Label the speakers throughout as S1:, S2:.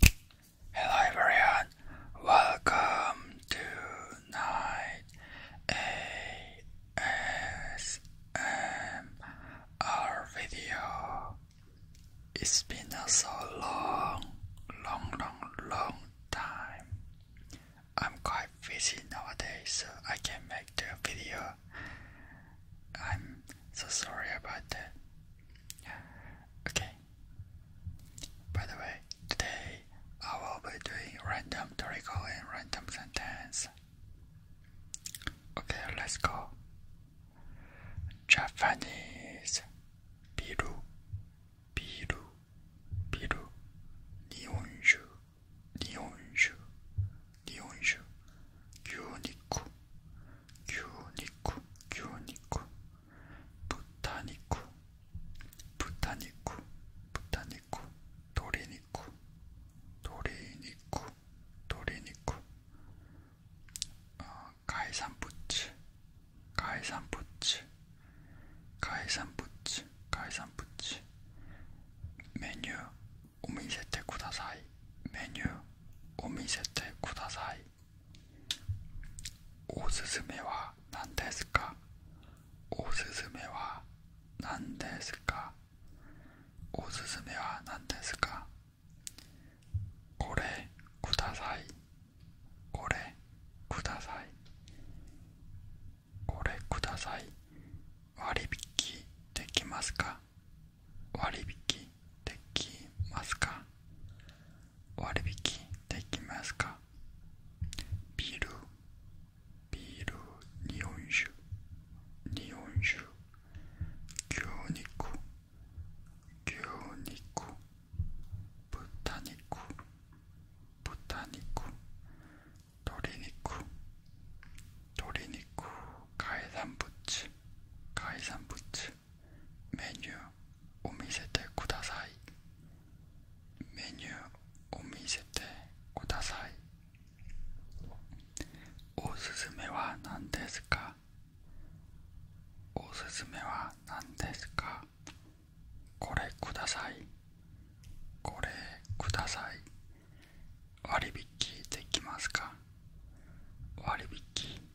S1: Hello everyone, welcome to Night ASMR video. It's been a so long, long, long, long time. I'm quite busy nowadays, so I can't make the video. I'm so sorry about that. Okay, by the way, today I will be doing random topical and random sentence. Okay, let's go. Japanese biru, biru, biru, nihonshu, nihonshu, nihonshu, gyuniku, 큐니쿠 큐니쿠 부타니쿠 부타니쿠 부타니쿠 도리니쿠 도리니쿠 도리니쿠 어, 가이산부츠 가이산부츠 가이산부츠 가이산부츠 메뉴 오미세테 쿠다사이 메뉴 오미세테 쿠다사이 おすすめは何ですかおすすめは何ですかおすすめは何ですかこれくださいこれくださいこれください割引できますか割引できますか割引できますかビールビール日本酒日本酒牛肉牛肉豚肉豚肉鶏肉鶏肉海産物海産物メニューを見せてくださいメニューを見せてくださいおすすめは何ですかおすすめは何ですかこれくださいこれください割引できますか割引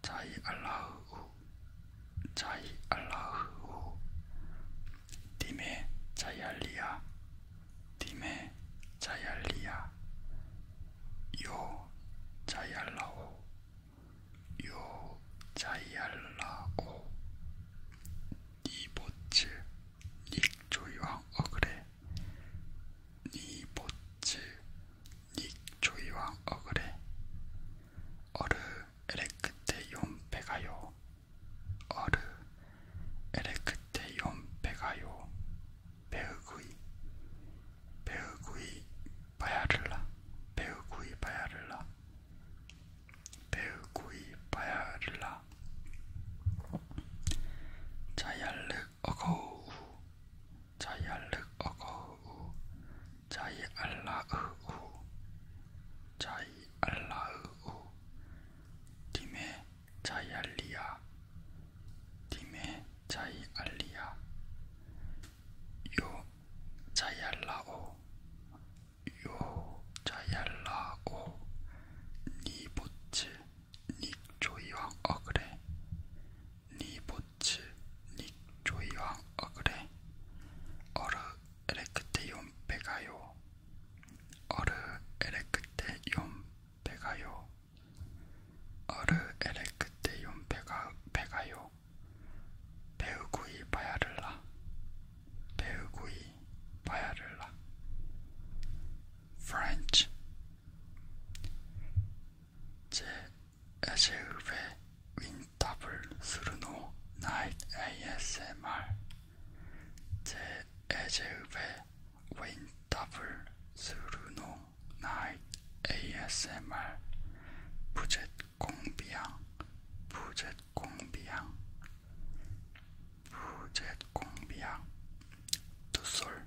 S1: 자이 알라흐우 자이 알라흐우 디메 자이알리아 디메 자이알리아 요 자이알라오 요 자이알라오 니보츠 닉조이왕 어그레 니보츠 닉조이와 어그레 어르 에레크테 용배가요 어르 에레크테 용배가요 배우구이 배우구이 바야를라 배우구이 바야를라 배우구이 바야를라 자야르 어거우 자이 알륵 어거우 자이 알라으우 자이 알라으우 디메 자이 알리야 디메 자이 알리야 요 자이 알라오 요 자이 알라오 니보츠 닉조이왕 어그레 니보츠 닉조이왕 어그레 어르 에레크테 욤베가요 어르 에레크테 욤베가요 어르 에레크테 욤베가 베가요 배우구이 바야를라 배우구이 바야를라 French 제 에제읍의 윈탑을 스르노 나잇 ASMR 제 에제읍의 윈탑을 스르노 나잇 ASMR 부젯 공비양 부젯 공비양 부젯 공비양 두솔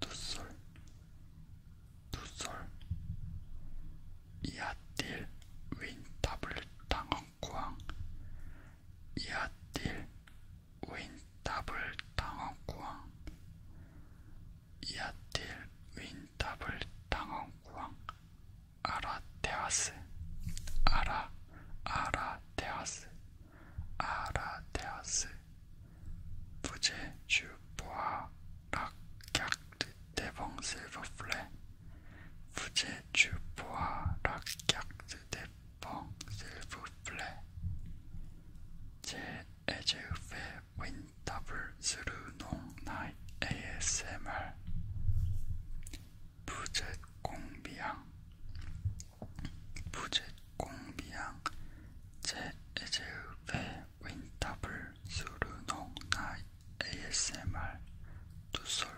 S1: 두솔 두솔 이아딜 윈다블당원구왕 이아딜 윈다블당원구왕 이아딜 윈다블당원구왕 아라테아스 아라 아라테아스 아라테아스 부제주보아 락약드 대봉 실버플레 부제 주보아 락약드 대봉 실버플레 제 에제우페 윈더블 스루농 나이 ASMR 부젯 공비양 부젯 공비양 제 에제우페 윈탑을 수르농 나이 ASMR 두솔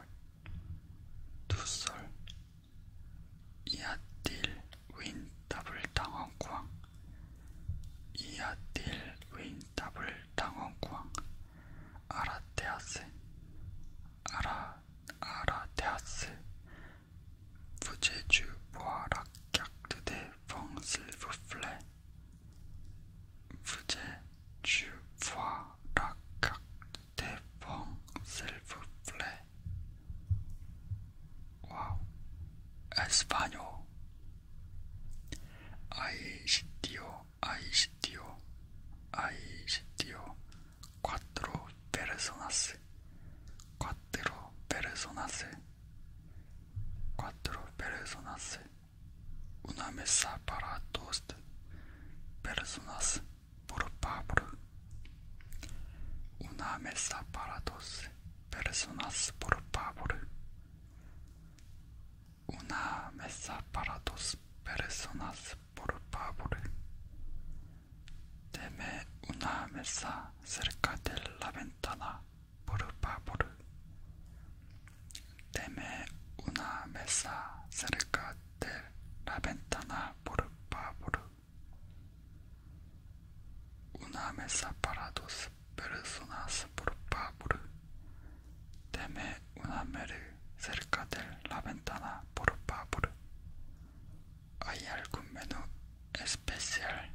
S1: 두솔 이아딜 윈탑을 당원광 이아딜 윈탑을 당원광 아라테아스 아라 아라테아스 부제주 보아락격드대 펑 실브 플레 부제 주파 락각 대펑 실브 플레 와우 에스파뇨 아이시티오 아이시티오 아이시티오 꽈트로 베르소나스 꽈트로 베르소나스 cuatro personas, una mesa para dos personas por favor. una mesa para dos personas por favor. una mesa para dos personas por favor. Teme una mesa cerca de la ventana por favor, Teme una mesa cerca de la ventana, por favor. Una mesa para dos personas, por favor. Teme una mesa cerca de la ventana, por favor. ¿Hay algún menú especial?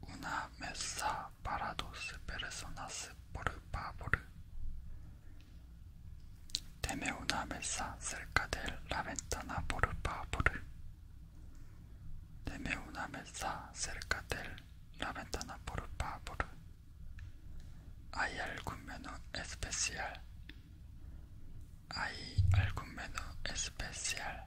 S1: Una mesa para dos personas por favor. Teme una mesa cerca de la ventana por favor. Deme una mesa cerca de la ventana por favor. ¿Hay algún menú especial? ¿Hay algún menú especial?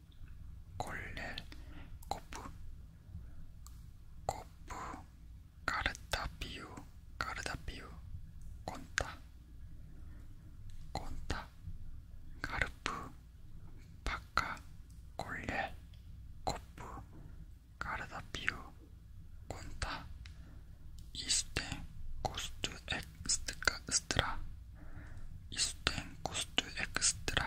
S1: 콜렐 코프 코프 까르타피우 까르타피우 콘타 콘타 가르프 바카 콜렐 코프 까르타피우 콘타 이스텐 코스트 엑스트라 이스텐 코스트 엑스트라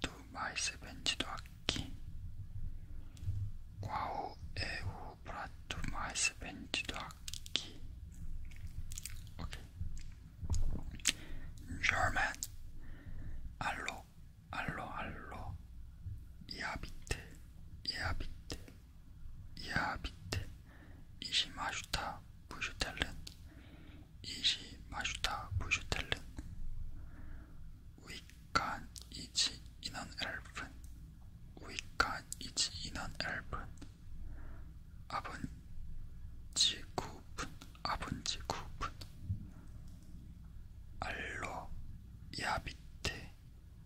S1: 두 마이스 벤지도 악기 과오 에우 브라토 마이스 벤지도 악기 오케이 German 알로 알로 알로 이아비트 이아비트 이아비트 이시 마슈타 부슈텔른 이시 마슈타 부슈텔른 위크 kann ich Ihnen helfen? Wie kann ich Ihnen helfen? 아버지 구분, 아버지 구분. 알로 야비테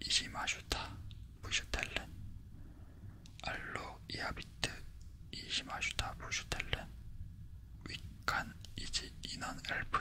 S1: 이시마슈타 부슈텔렌. 알로 야비테 이시마슈타 부슈텔렌. 위칸 이지 인원 엘픈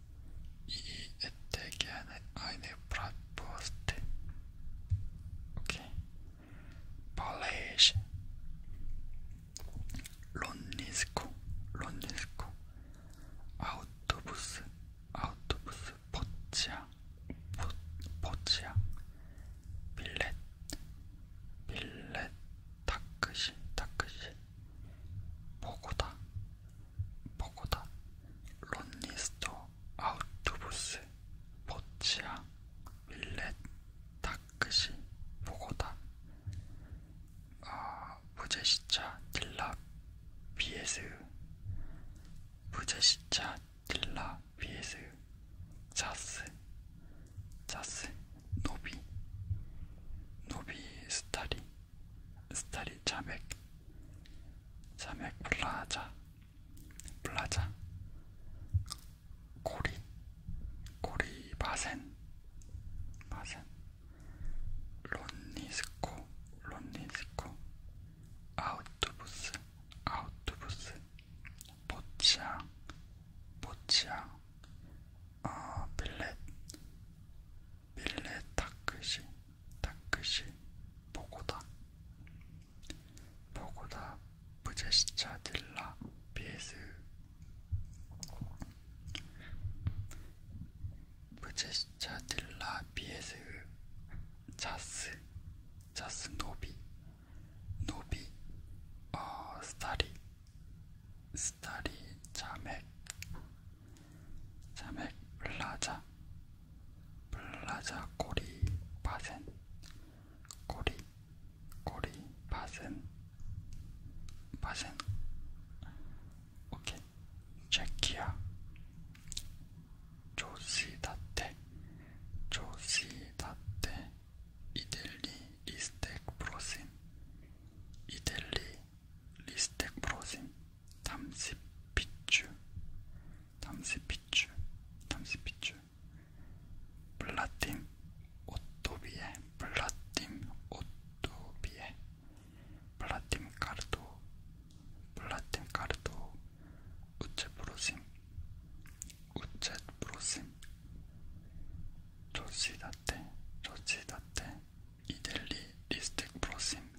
S1: y este que hay de bratwurst ok polish 론니스코 론니스코 아우토부스 아우토부스 포치아 포, 포치아 빌렛 빌렛 다크시 다크시 보고다 버거다 론니스터 아우투부스 버치아 윌렛 다크시 버거다 아, 부제시차 딜라 비에스 부제시차 딜라 비에스 자스 자스 노비 노비 스타리 스타리 자맥 자맥 플라자 플라자 고리 고리 바센 바센 론니스코 론니스코 아우토부스 아우토부스 보치앙 보치앙 어, 빌렛 밀레 타크시 타크시 보고다 보고다 부제시차 딜라 비에스 부제시차 딜라 비에스 자스 자스 노비 노비 어 스타리 스타리 자맥 자맥 라자 플라자 꼬리 바센 꼬리 꼬리 바센 바센 오케이 체키야 조시다테 조시다테 이델리 리스텍 프로신 이델리 리스텍 프로신 담시피추, 담시피추, 담시피추. 블라팀 오토비에, 블라팀 오토비에, 블라팀 카르도, 블라팀 카르도. 우체 브로싱, 우체 브로싱. 조시다테, 조시다테. 이델리 리스틱 브로싱.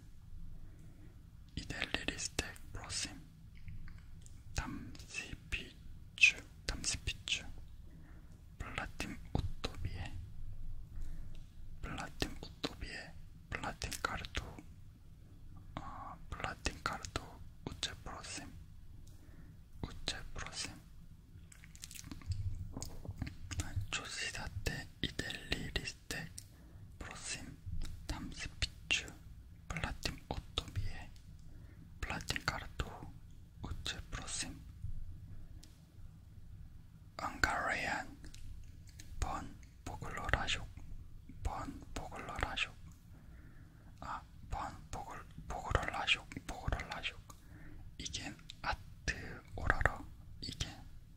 S1: 이델리리스텍 프로심 담시피추 담시피추 플라틴 오토비에 플라틴 오토비에 플라틴 카르도 어, 플라틴 카르도 우체 프로심 우체 프로심 조시다테 이델리리스 크리스텍, 프로심, 담스피츠, 플라틴 오토비에, 플라틴 카르토, 우체 프로심, 앙가레안, 번 보글러라쇼, 번 보글러라쇼, 아, 번 보글 보글러라쇼, 보글러라쇼, 이겐 아트 오라라, 이겐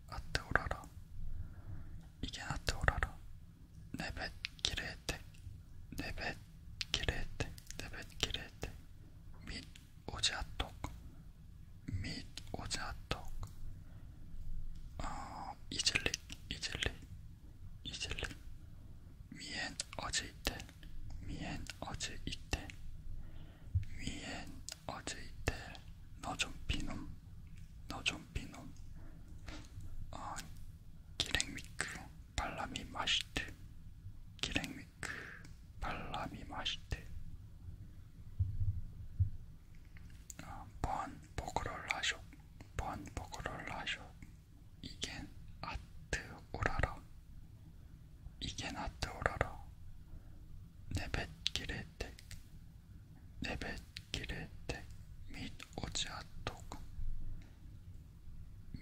S1: 아트오라라 이게 아트오라라 네벳 길의 혜택 네벳 길의 혜택 네벳 길의 혜택 및 오지아톡 및 오지아톡 어, 이즐릭 이즐릭 이즐릭 위엔 어제 이때 위엔 어제 이때 위엔 어제 이때 너좀 비놈 너좀 비놈. 아, 기랭미크 발람이 맛있대. 기랭미크 발람이 맛있대. 아, 번 보그럴 라쇼. 번 보그럴 라쇼. 이겐 아트 오라라. 이겐 아트 오라라. 내뱃길에 네 때 내뱃길에 택및 오지아톡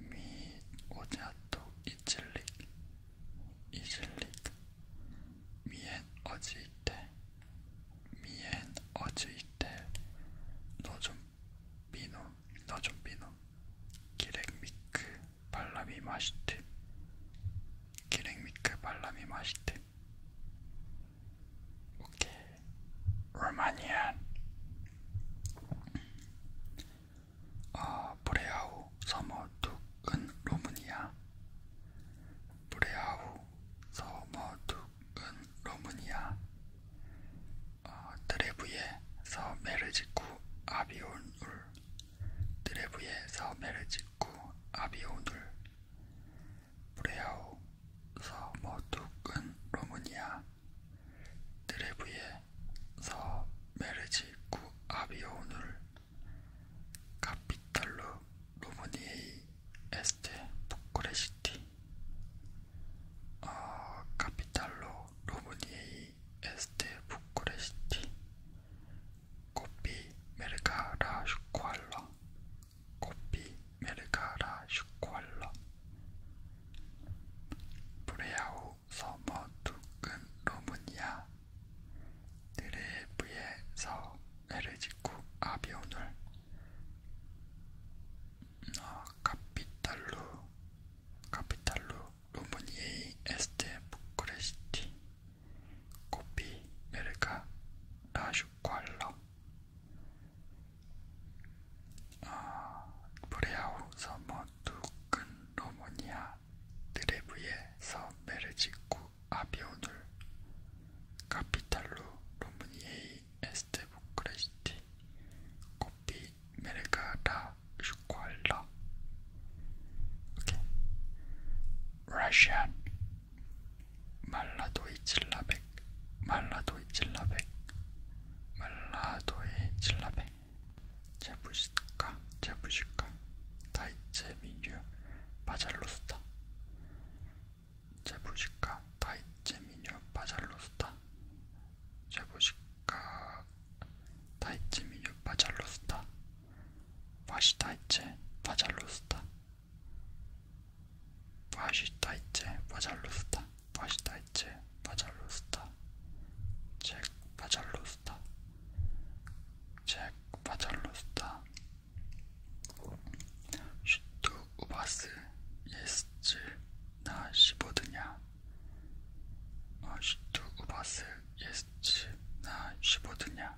S1: 및 오지아톡 이슬릭 이슬릭 미엔 어지이테 미엔 어지이테 노좀 비노 너좀 비노 기렉 미크 발람이 맛있대 기렉 미크 발람이 맛있대 오케이. 루마니안. 아, 어, 브레아우 서머둑은 루무니아. 브레아우 서머둑은 루무니아. 어, 드레브에서 메르지쿠 아비오눌 드레브에서 메르지쿠 아비오눌 브레아우 서머두끈 로무니아 드레브예 서 메르지 구 아비오눌 카피탈루 루무니에이 에스테 부쿠레시티 어, 카피탈루 루무니에이 에스테 부쿠레시티 코피 메르가라 슈코알라 코피 메르가라 슈콜러 브레아우 서머 두근 로무니아 드레브에서 에르지쿠 아비오놀 어, 카피탈루 카피탈루 루무니에이 에스테 부크레시티 코피 메르가 라슈콜러 어, 브레아우 서머 두근 로모니아 드레브에 서메르지쿠 아비오눌 카피탈루 로무니에이 에스테부 크레시티 코피 메르가라 슈코알라 Okay. Russian 말라도이 칠라백 말라도이 칠라백 말라도이 칠라백 제부시카 제부시카 다이체 민유 바잘로스타 제부시카 다이체 민유 바잘로스타 제부시카 다이체 민유 바잘로스타 와시 다이체 바잘로스타 맛있다 이제 바잘로스타 맛있다 이제 바잘로스타 잭 바잘로스타 잭 바잘로스타 슈트 우바스 예스츠 나 씹어드냐 어, 슈트 우바스 예스츠 나 씹어드냐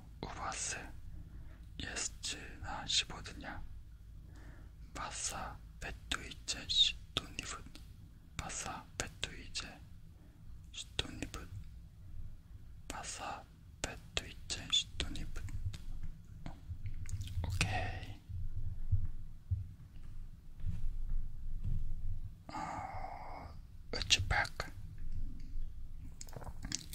S1: 우바스 예스츠나 시보드냐 바사 베뚜이제 시토니붓 바사 베뚜이제 시토니붓 바사 베뚜이제 시토니붓 오케이 어... 으츠팍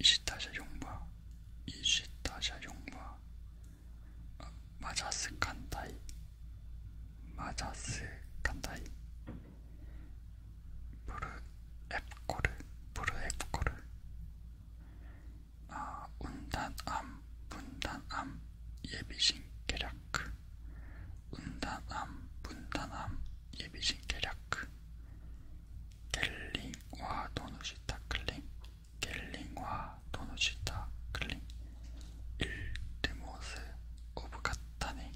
S1: 이시타샤 용바 이시타샤 용바 아, 어, 마자스 칸타이 마자스 칸타이 부르 앱코르 부르 앱코르 아 운단암 분단암 예비신 계략 운단암 분단암 예비신 계략 겔링와 도넛이다 클링 겔링와 도넛이다 클링 일드모스 오브 카타니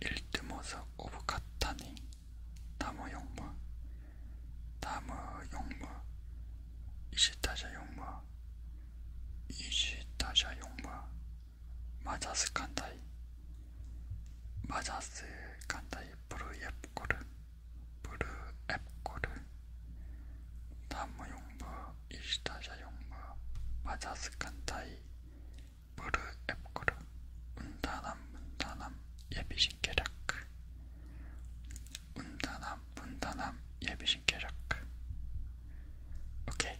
S1: 일드모스 오브 카타니 다무 용무 다무 용무 이시타샤 용무 이시타샤 용무 마자스 칸다이 마자스 칸다이 브루옙고르 브루엡고르 나무용부 이시타샤용부 마자스칸타이 브루엡고르 운다남 운다남 예비신계략 운다남 운다남 예비신계략 오케이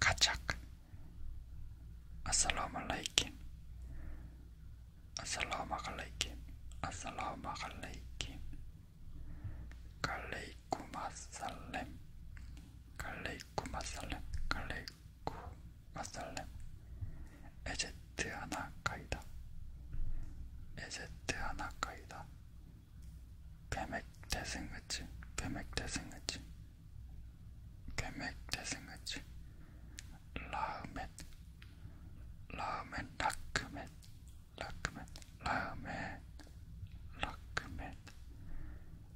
S1: 가착 아살라마갈라이킴 아살라마갈라이킴 아살라마갈라이킴 갈레이쿠마살렘 갈레이쿠마살렘 갈레이쿠마살렘 에제트 하나 가이다 에제트 하나 가이다 베맥 대승의지 베맥 대승의지 계획대승같이 라멘 라멘 라크멘 라크멘 라멘 라크멘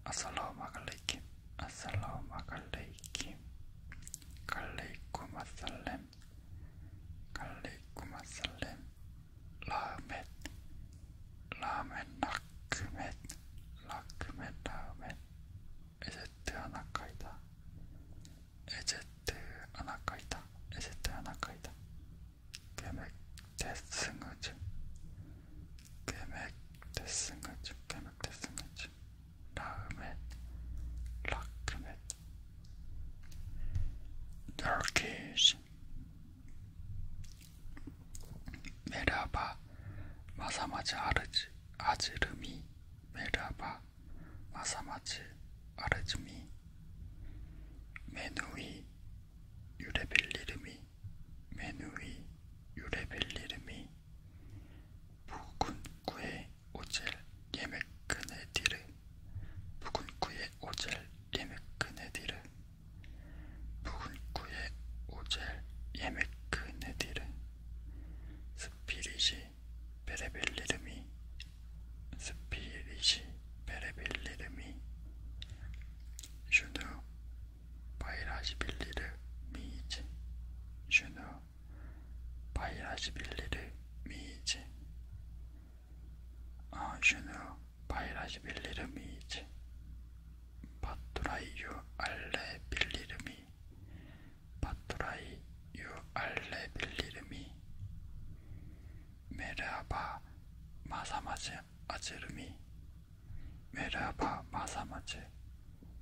S1: 아살라마갈레이킴 아살라마갈레이킴 갈레이쿠마살렘 갈레이쿠마살렘 라멘 라멘 라크멘 라크멘 라멘 에제트 아나카이다. 에제트 아나카이다. 에제트 아나카이다. 계획 대승하죠. 계획 대승하죠. 계획 대승하죠. 라흐멧 라크멧 터키시 메라바 마사마지 아르지 아즈르미, 메라바, 마사마즈, 아르즈미, 메누이, 유레벨리르미, 메누이, 유레벨리르미, 부군구의 오젤, 예메크네디르, 부군구의 오젤, 예메크네디르, 부군구의 오젤, 예메크네디르. 스피릿이 베레벨리름이 스피릿이 베레벨리름이 슈누 바이라시빌리르 미즈 슈누 바이라시빌리르 미즈 아 슈누 바이라시빌리르 미즈 바뚜라이유 알레빌리르미 바토라이 유 알레빌리르미 메르하바 마사마즈 아즈르미 메르하바 마사마즈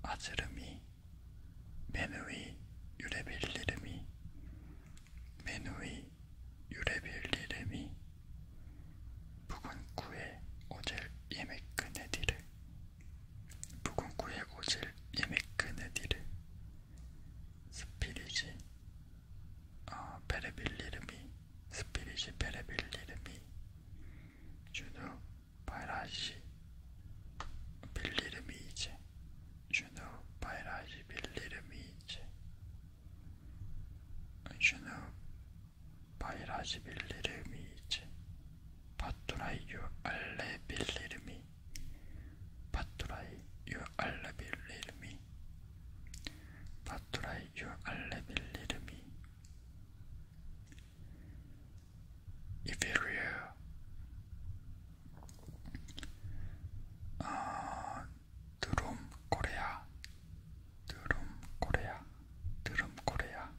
S1: 아즈르미 메누이 유레빌리르미 메누이 유레빌리르미 부근구에 오젤 예메크네디르 북은구에 오질 이메크네디르 스피리지 어, 베레빌리르미 스피리지 베레빌리르미 주누 바이라시 빌리르미 이제 주누 바이라시 빌리르미 이제 주누 바이라시 빌리르미 이제 파투라이 유 알레빌리르미 파투라이 유 알레빌리르미 파투라이 유 알레빌리르미 이베리아 아, 드롬 코레아 드롬 코레아 드롬 코레아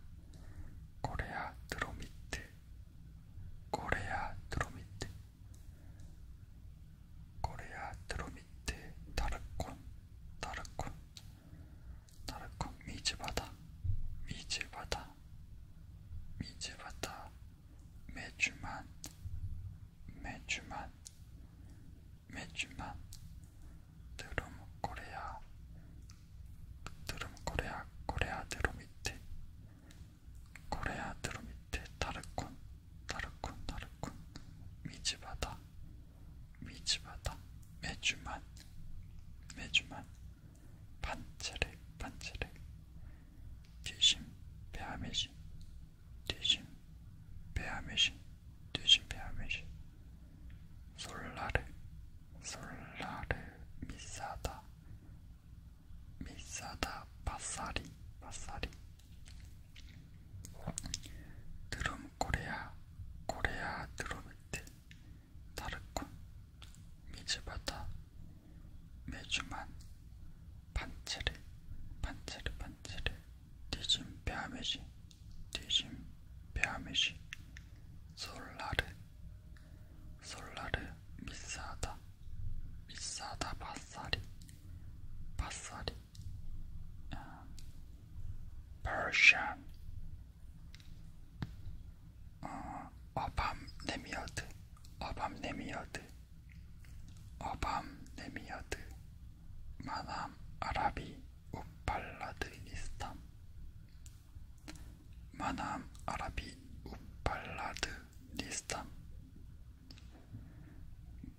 S1: 코레아 드로미트 코레아 드로미트 코레아 드로미트 다르콘 다르콘 다르콘 미즈바다 미즈바다 미즈바다 매주만 매주만 매주만 드롬 코레아 북드름 코레아 코레아 드로미테 코레아 드로미테 타르콘 타르콘 타르콘 미즈바다 미즈바다 메주만 메주만 반체렉 반체렉 뒤심 베아메신 뒤심 베아메신 뒤심 베아메신 솔라르 솔라르미사다 미사다 바사리 바사리 드럼 코레아 코레아 드로미트 다르콘 미즈바다 메주만 반체르 반체르 반체르 디즘 베아메시 디즘 베아메시 솔라르 솔라르 미사다 미사다 바사리 바사리 아, Persian 어, 어밤네미어드 어밤네미어드 어밤네미어드 마남 아라비 우팔라드 이스탐 마남 아라비 우팔라드 니스탐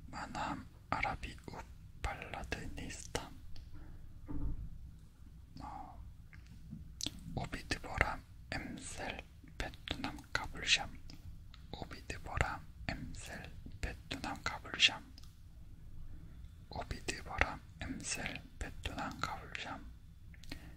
S1: 마남 아라비 우팔라드 니스탐 어, 오비드보람 엠셀 베트남 가불샴 오비드보람 엠셀 베트남 가불샴 오비드보람 엠셀 베트남 가불샴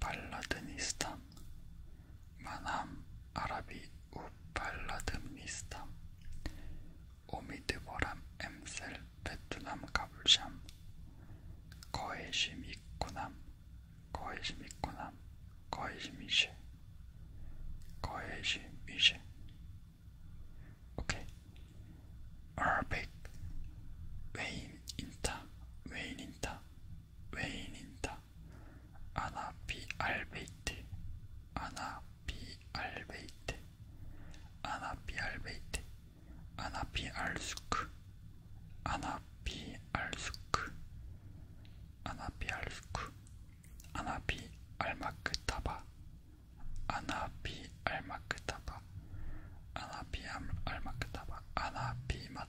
S1: 발라드니스탄 만함 아라비 우 발라드니스탄 오미드 보람 엠셀 베트남 가불샴 거해심 이코남 거해심 이코남 거해심 이셰 거해심 이셰 오케이 아라백 웨인 인타 웨인 인타 외인이다. 아나비알베이트, 아나비알베이트, 아나비알베이트, 아나비알수크, 아나비알수크, 아나비알수크, 아나비알마크타바, 아나비알마크타바, 아나비알마크타바, 아나비마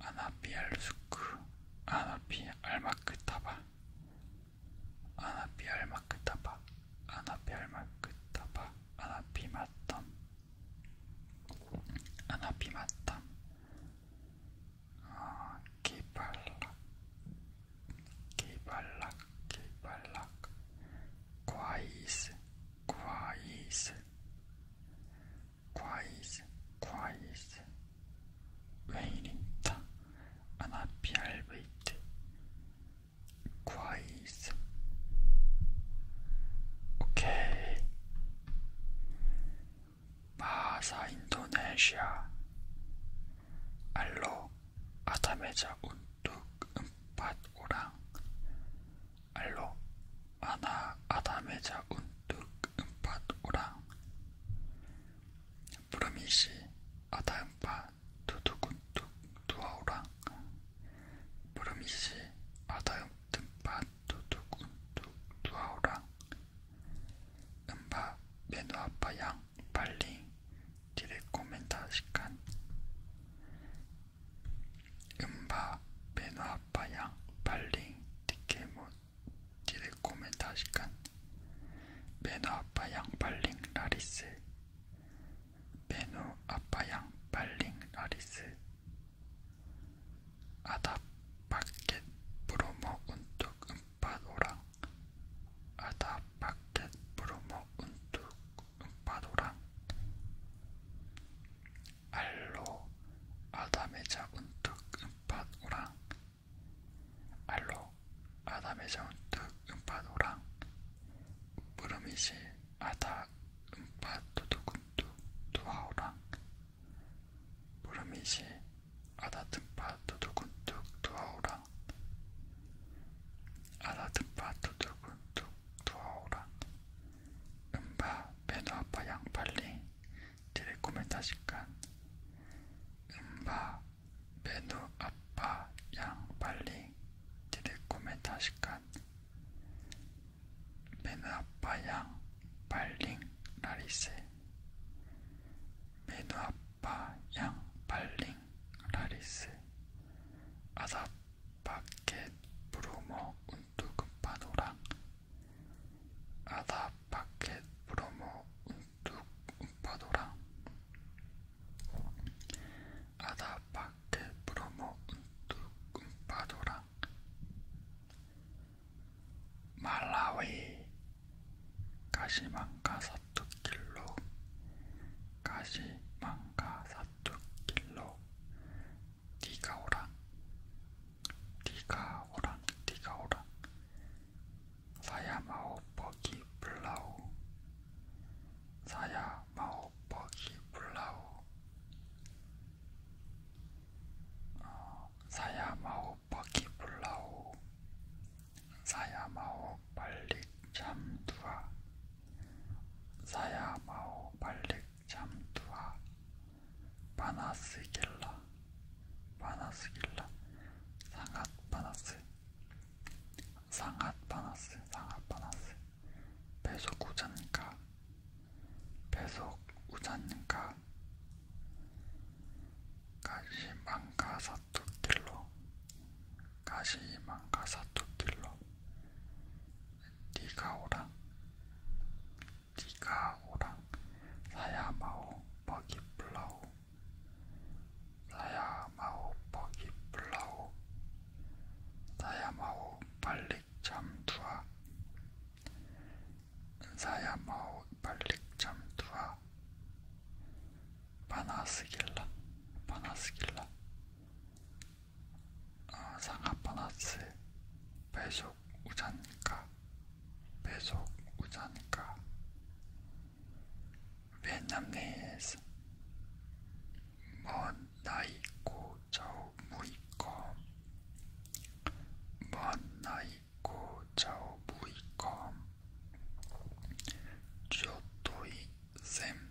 S1: 아나피알수크 아나피 알마크타바 아나피 알마크타바 아나피 알마크타바 아나피 마탐 아나피 마탐 아 기발락 기발락 기발락 과이스 quiet, quiet, quiet. 외인입니다. 아나피알베이트. quiet. 오케이. 마사 인도네시아. 알로 아담에자 운뚝 음밭 오랑 알로 아나 아담에자 운뚝 음팟 오랑 부르미시 아다 음팟 두둑 운뚝 두아오랑 부르미시 아다 음팟 두둑 운뚝 두아오랑 음바 메누아파 양 발링 디레코멘다 시간 은바, 베누아파양, 발링, 디케모, 디레코멘다시칸 베누아파양, 발링, 라리스 베누아파양, 발링, 라리스 아답, 바켓, 브로모, 운뚝, 은바, 노랑 아다, 바켓, 브로모, 운뚝 파도랑 알로 아담의 잡은 뚝 음파도랑 알로 아담의 잡은 뚝 음파도랑 부름이시 아다 음파도두군두 두하오랑 부름이시 아다뜸파 두두군두 두하오랑 아다뜸파 두두군두 두하오랑 음바 배너아빠 양팔리 텔레코멘다시깐 음바 배너아빠 양팔리 텔레코멘다시깐 배너아빠 양팔링 라리세 배너아빠 양팔링 라리세 아사파켓 브로모 운뚝파노랑 아다 파켓 브로모 운뚝파노랑 아다 파켓 브로모 운뚝파노랑 말라위 가시망가 사투길로 가시망가 사투길로 네가 오라 네가 오라 네가 오라 사야 마오 버기 불라오 사야 마오 버기 불라오 어, 사야 마오 버기 불라오 사야 마오 빨리 잠두아 사야 마오 빨리 잠두아 바나스길라 바나스길라 상앗 바나스 상앗 바나스 상앗 바나스 배속 우잔가 배속 우잔가 가시망가 사투길로 가시망가 사투길로 네가 오라 네가 오라 사야마오 버기 플라오 사야마오 버기 플라오 사야마오 발릭 잠투아 사야마오 발릭 잠투아 바나스길라 바나스길라 어, 아, 상하보너스 배속 우산가 배속 우산가 베트남에서 먼 나이고 저우 무이고 먼 나이고 저우 무이고 조토이 샘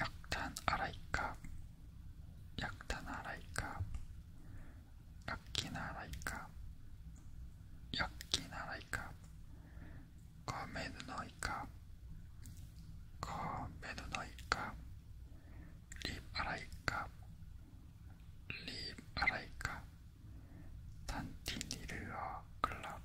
S1: 약탄아라이카약탄아라이카약긴아라이카약긴아라이카거메누너이카거메누너이카립아라이카립아라이카단티니르어클럽タンティニルアクラブ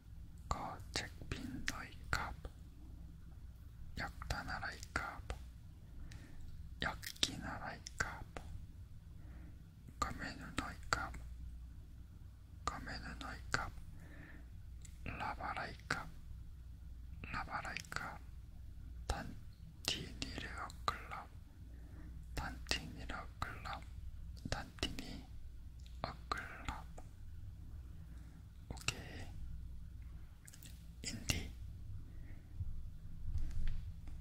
S1: 거책빈 너희 값 역다나라의 값 역기나라의 값 거메누 너희 값 거메누 너희 값 라바라의 값 라바라의 값 단티니르 어클럽 단티니르 어클럽 단 팀이 어클럽 오케이 인디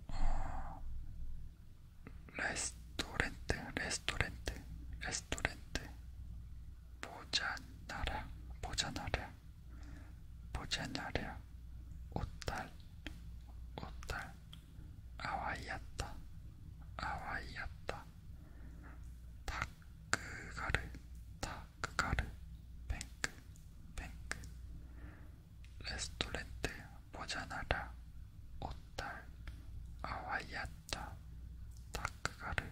S1: 어, 레스토렌트 레스토렌트 레스토렌트 보자나라 보자나라 보자나라 오탈 오탈 아와이야타 아와이야타 타크가르 타크가르 뱅크 뱅크 레스토렌트 모자나라 오탈 아와이야타 타크가르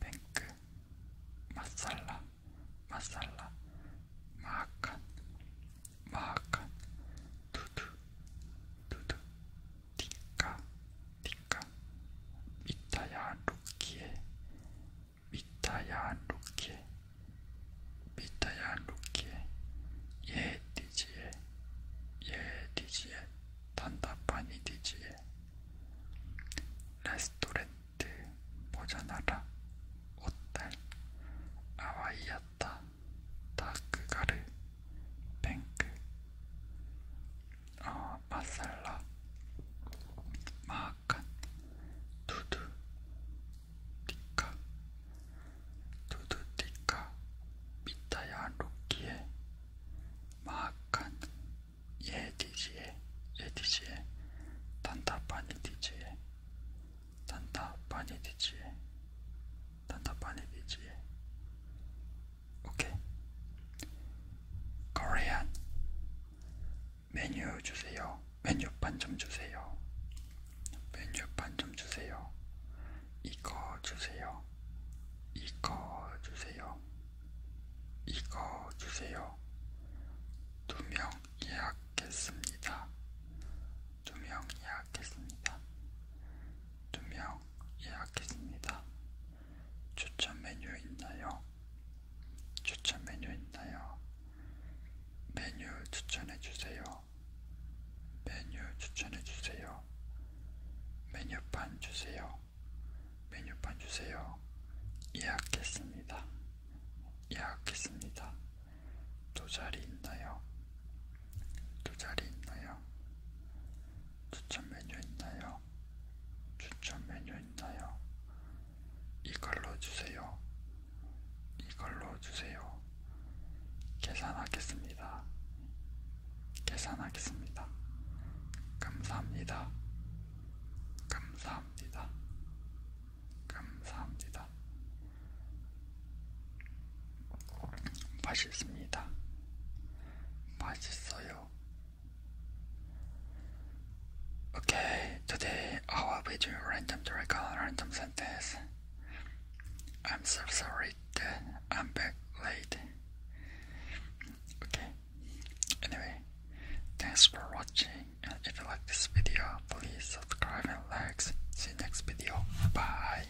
S1: 뱅크 마살라 마살라 마칸 마칸 두두 두두 티카 티카 미타야 루키에 미타야 루키에 미타야 루키에 예디지에 예디지에 단답하니 디지에 레스토렌트 모자나라 옷달 아와이였다 다크가르, 뱅크, 어, 마살라, 마하칸, 두두, 디카, 두두, 디카, 미타야 로키에, 마하칸, 예디지에, 예디지에, 단타파니디지에, 단타파니디지에, 단타파니디지에, 오케이. 코리안 메뉴 주세요. 메뉴판 좀 주세요. 메뉴판 좀 주세요. 이거 주세요. 이거 주세요. 이거 주세요. 두 명 예약했습니다. 두 명 예약했습니다. 두명 예약했습니다. 추천 메뉴 있나요? 추천 메뉴 있나요? 메뉴 추천해주세요. 메뉴 추천해주세요. 메뉴판 주세요. 메뉴판 주세요. 예약했습니다. 예약했습니다. 두 자리 있나요? 또 자리 있나요? 추천 메뉴 있나요? 추천 메뉴 있나요? 이걸로 주세요. 이걸로 주세요. 계산하겠습니다. 계산하겠습니다. 감사합니다. 감사합니다. 감사합니다. 맛있습니다. 맛있어요. Okay, today I will be doing random dragon random sentence. I'm so sorry that I'm back late. Okay, anyway, thanks for watching and if you like this video, please subscribe and like. See you next video. Bye.